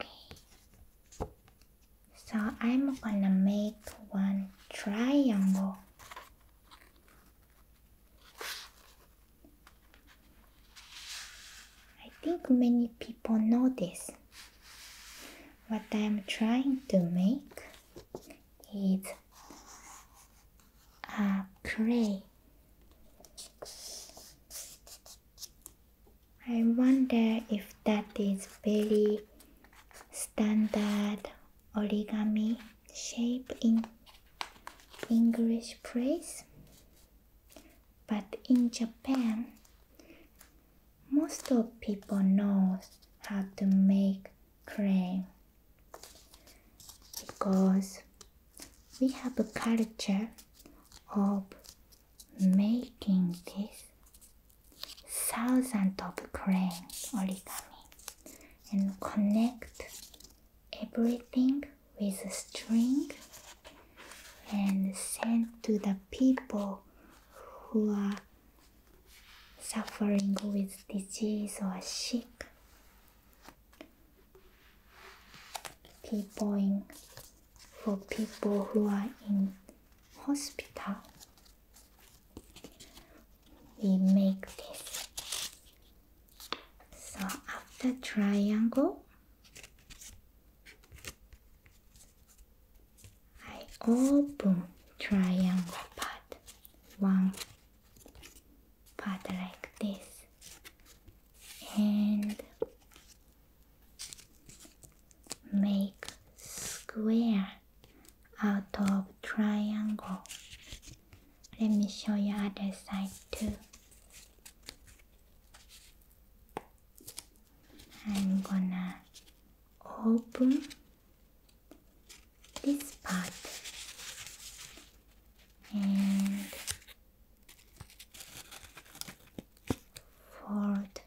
Okay, so I'm gonna make one triangle. I think many people notice What I'm trying to make is a play I wonder if that is very standard origami shape in English place but in Japan most of people knows how to make crane because we have a culture of making these thousands of cranes origami and connect everything with a string and send to the people who are suffering with disease or sick peopling for people who are in hospital. We make this. So after triangle, I open triangle part one part like this and make square out of triangle let me show you other side too i'm gonna open this part and fold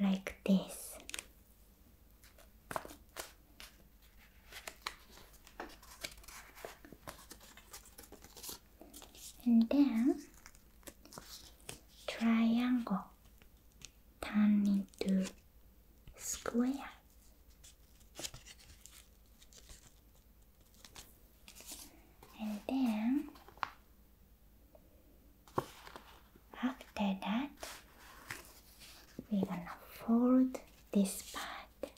like this. And then triangle turn into square. And then after that, we're gonna fold this part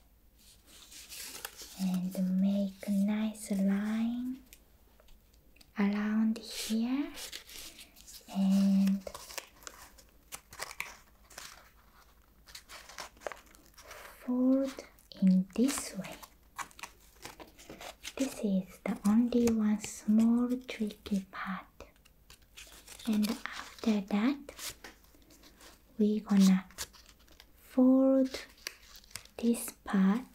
and make a nice line around here and fold in this way. This is the only one small tricky part. And after that, we're gonna fold this part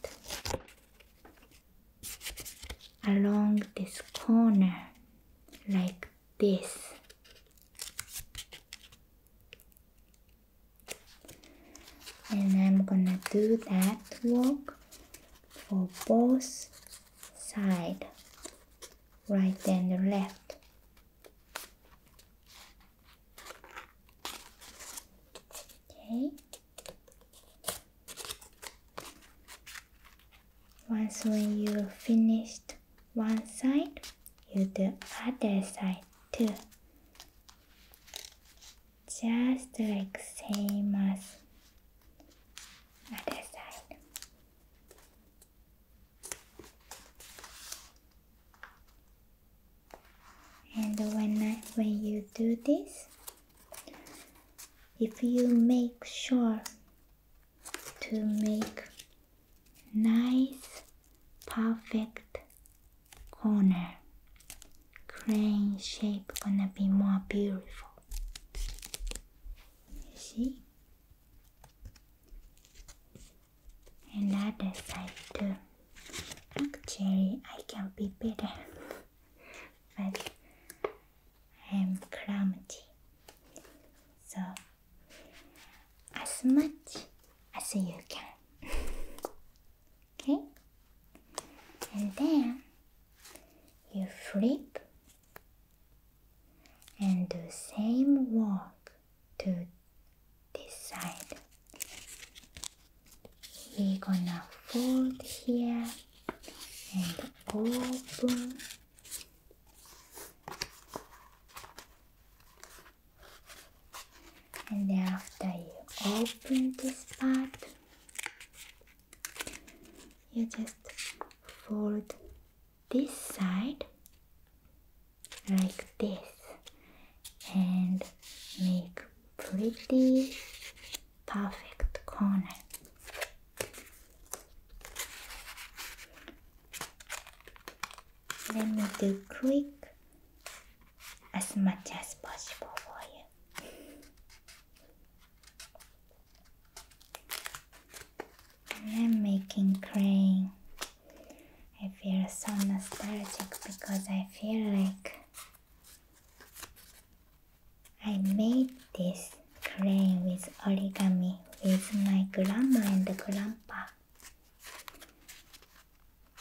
along this corner like this and I'm gonna do that work for both side right and left okay once when you finished one side, you do other side too. Just like same as other side. And when I, when you do this, if you make sure to make nice perfect corner crane shape gonna be more beautiful you see and side too actually i can be better but i'm clumsy so as much as you can. okay? And then you flip and do same work to this side. We're gonna fold here and open and after you open this part you just fold this side like this and make pretty perfect corner let me do quick as much as possible for you. I'm making crayon. I feel so nostalgic because I feel like I made this crane with origami with my grandma and grandpa.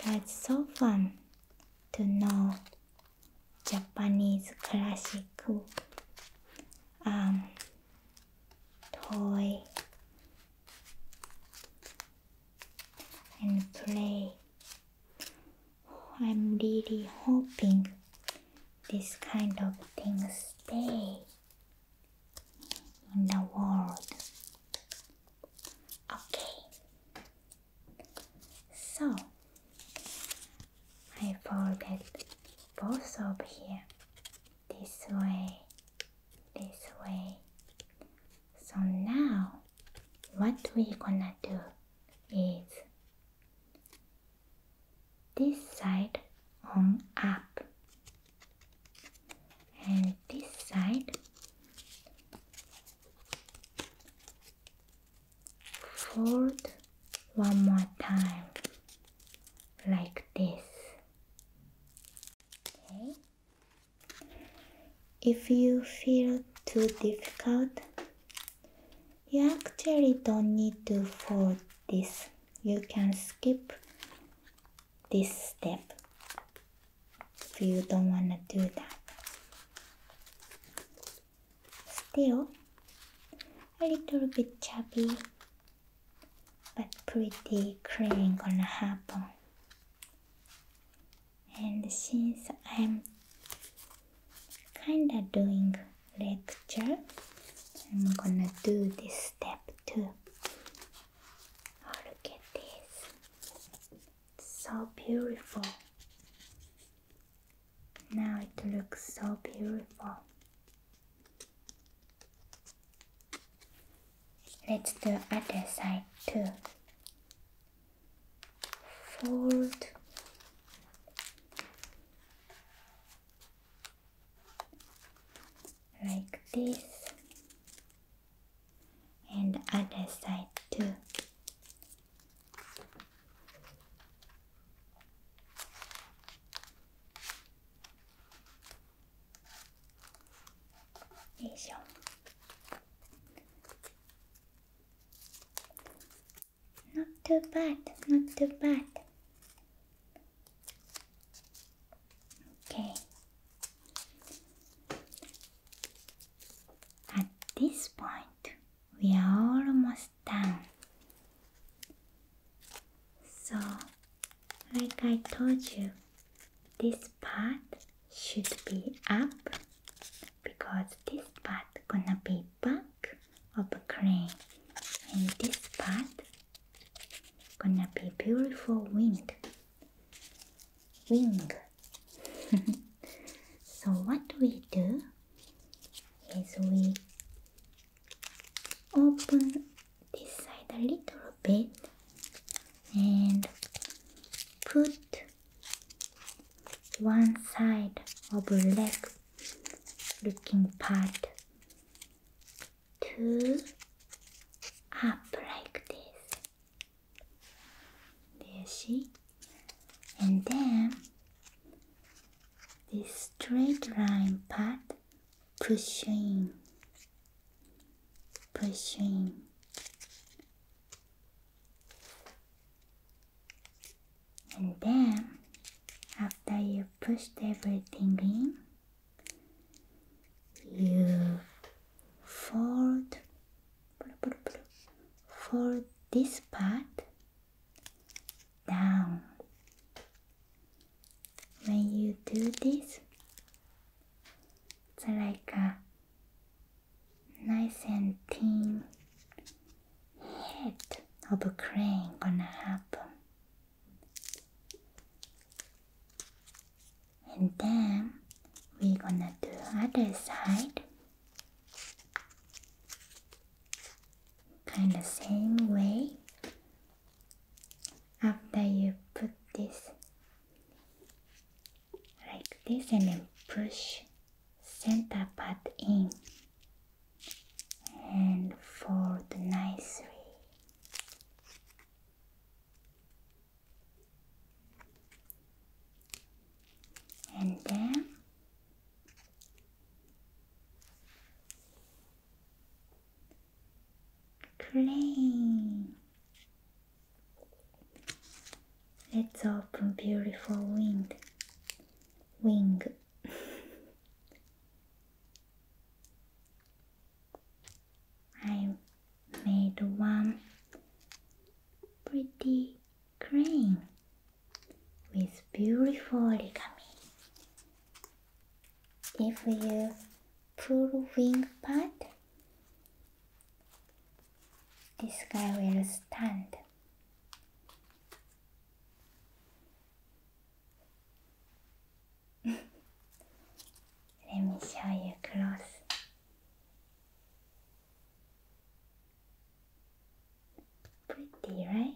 That's so fun to know Japanese classic um, toy and play. I'm really hoping this kind of thing stay in the world. Okay, so I folded both of here this way, this way. So now what we gonna do is this side on up and this side fold one more time like this okay if you feel too difficult you actually don't need to fold this you can skip this step if you don't want to do that. Still a little bit chubby but pretty clean gonna happen. And since I'm kinda doing lecture, I'm gonna do this step too. Oh, look at this. It's so beautiful. Now it looks so beautiful. Let's do other side too. Fold like this and other side too not too bad, not too bad. Okay. At this point, we are almost done. So, like I told you, this part should be up because this part gonna be back of crane and this part Gonna be beautiful wing, wing. so what do we do is we open this side a little bit and put one side of leg looking part two, up like this. Do she. And then this straight line part pushing, pushing. And then after you pushed everything in, you fold fold this part down when you do this it's like a nice and thin head of a crane gonna happen and then we're gonna do other side kind of same way after you put this like this and then push center part in and for the fold nicely. And then clean. Let's open beautiful wing. Wing. I made one pretty crane with beautiful origami. If you pull wing part, this guy will stand. Let me show you close. Pretty, right?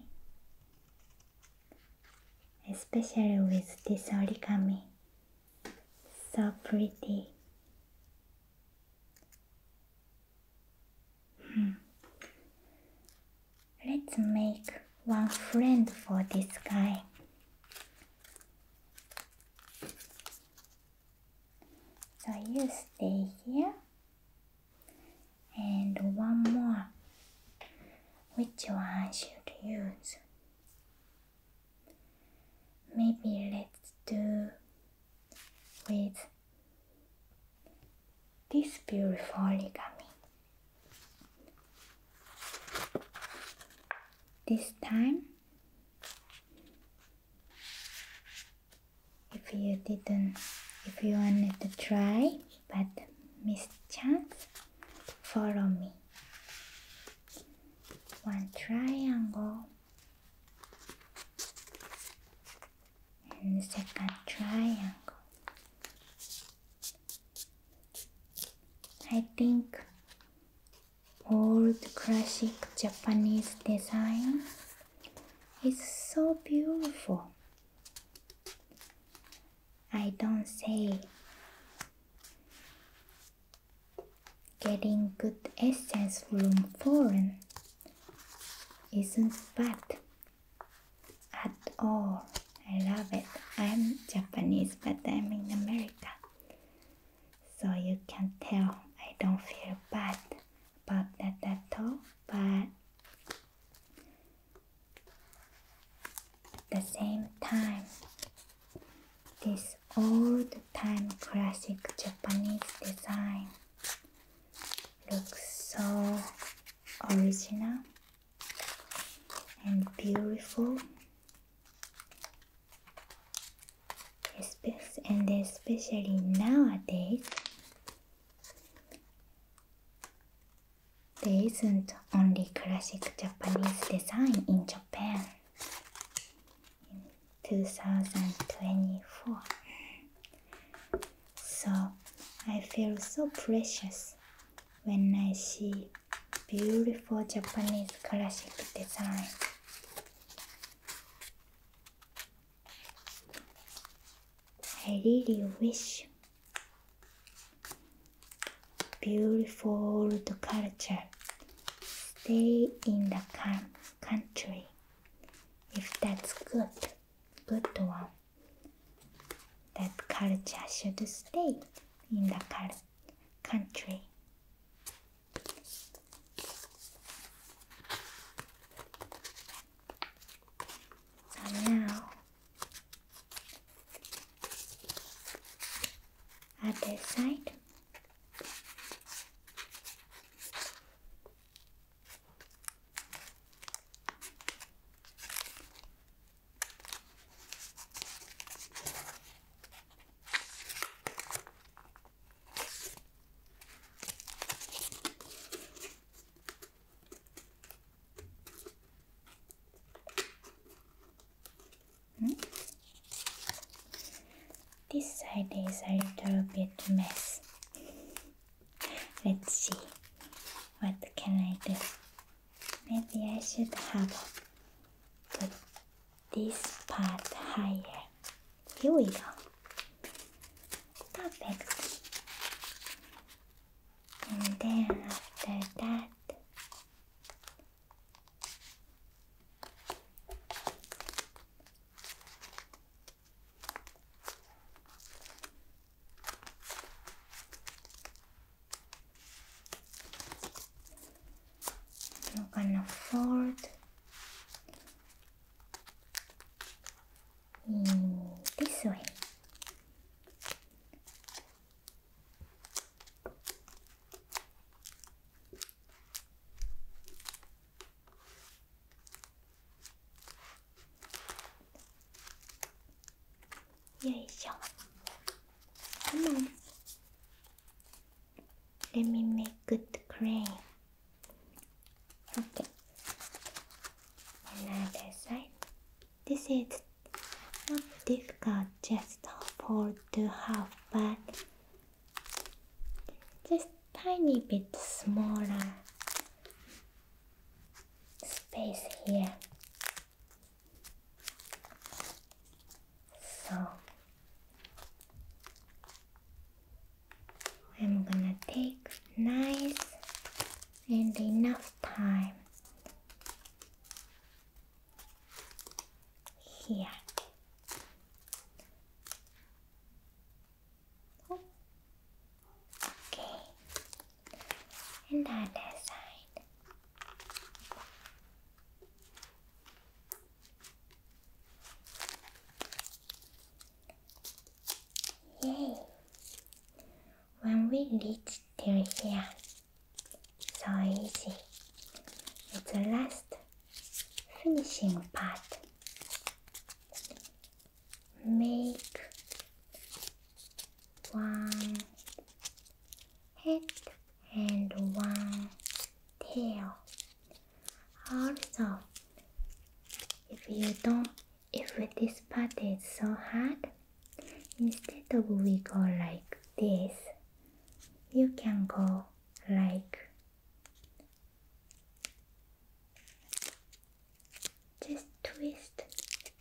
Especially with this origami. So pretty. Hmm. Let's make one friend for this guy. So you stay here. And one more. Which one I should use? Maybe let's do with this beautiful origami. This time, if you didn't, if you wanted to try but missed chance, follow me. One triangle and the second triangle. I think old classic Japanese design is so beautiful. I don't say getting good essence from foreign isn't bad at all. I love it. I'm Japanese, but I'm in America. So you can tell I don't feel bad about that at all, but at the same time, this old time classic Japanese design looks so original and beautiful and especially nowadays there isn't only classic Japanese design in Japan in 2024 so I feel so precious when I see beautiful Japanese classic design. I really wish beautiful old culture stay in the country if that's good, good one that culture should stay in the country. now, other side. Hmm? This side is a little bit mess. Let's see. What can I do? Maybe I should have put this part higher. Here we go. Perfect. And then after that, you can afford in this way. よいしょ come on let me make good cream okay another side this is not difficult just for to half but just tiny bit smaller space here. So I'm gonna take nice and enough time here. Okay. And other side. Yay! When we reach till here, so easy. It's the last finishing part make one head and one tail. Also, if you don't, if this part is so hard, instead of we go like this, you can go like just twist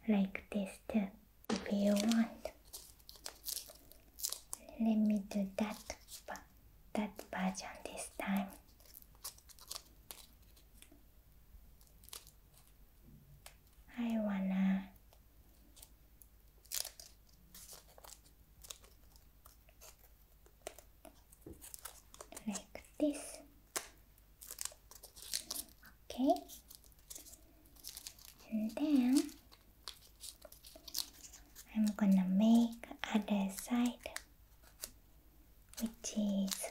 like this too if you want. Let me do that, that version this time. I wanna like this. Okay, and then I'm gonna make other side, which is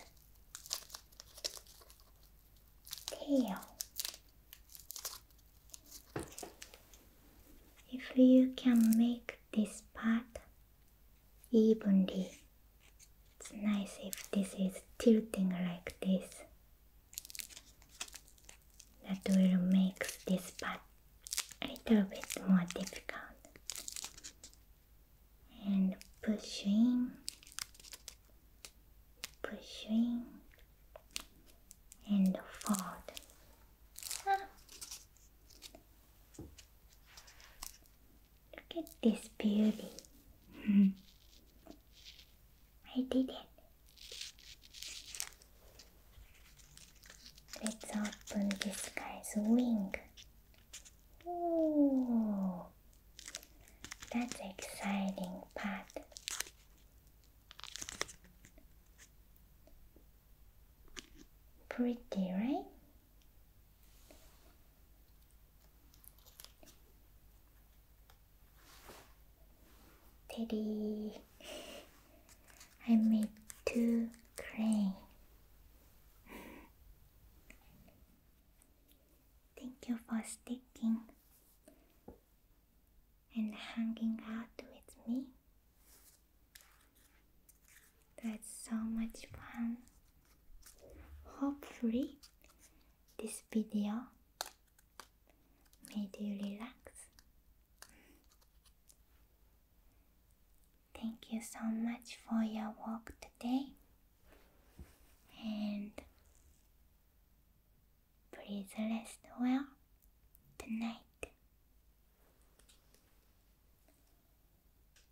tail. If you can make this part evenly. It's nice if this is tilting like this. That will make this part a little bit more difficult. And pushing, pushing, and fold. Ah. Look at this beauty. Hmm. I did it. Let's open this guy's wing. Ooh, that's exciting part. Pretty, right? Teddy, I made two crane. Thank you for sticking and hanging out with me. That's so much fun. Hopefully, this video made you relax. Thank you so much for your work today. And please rest well tonight.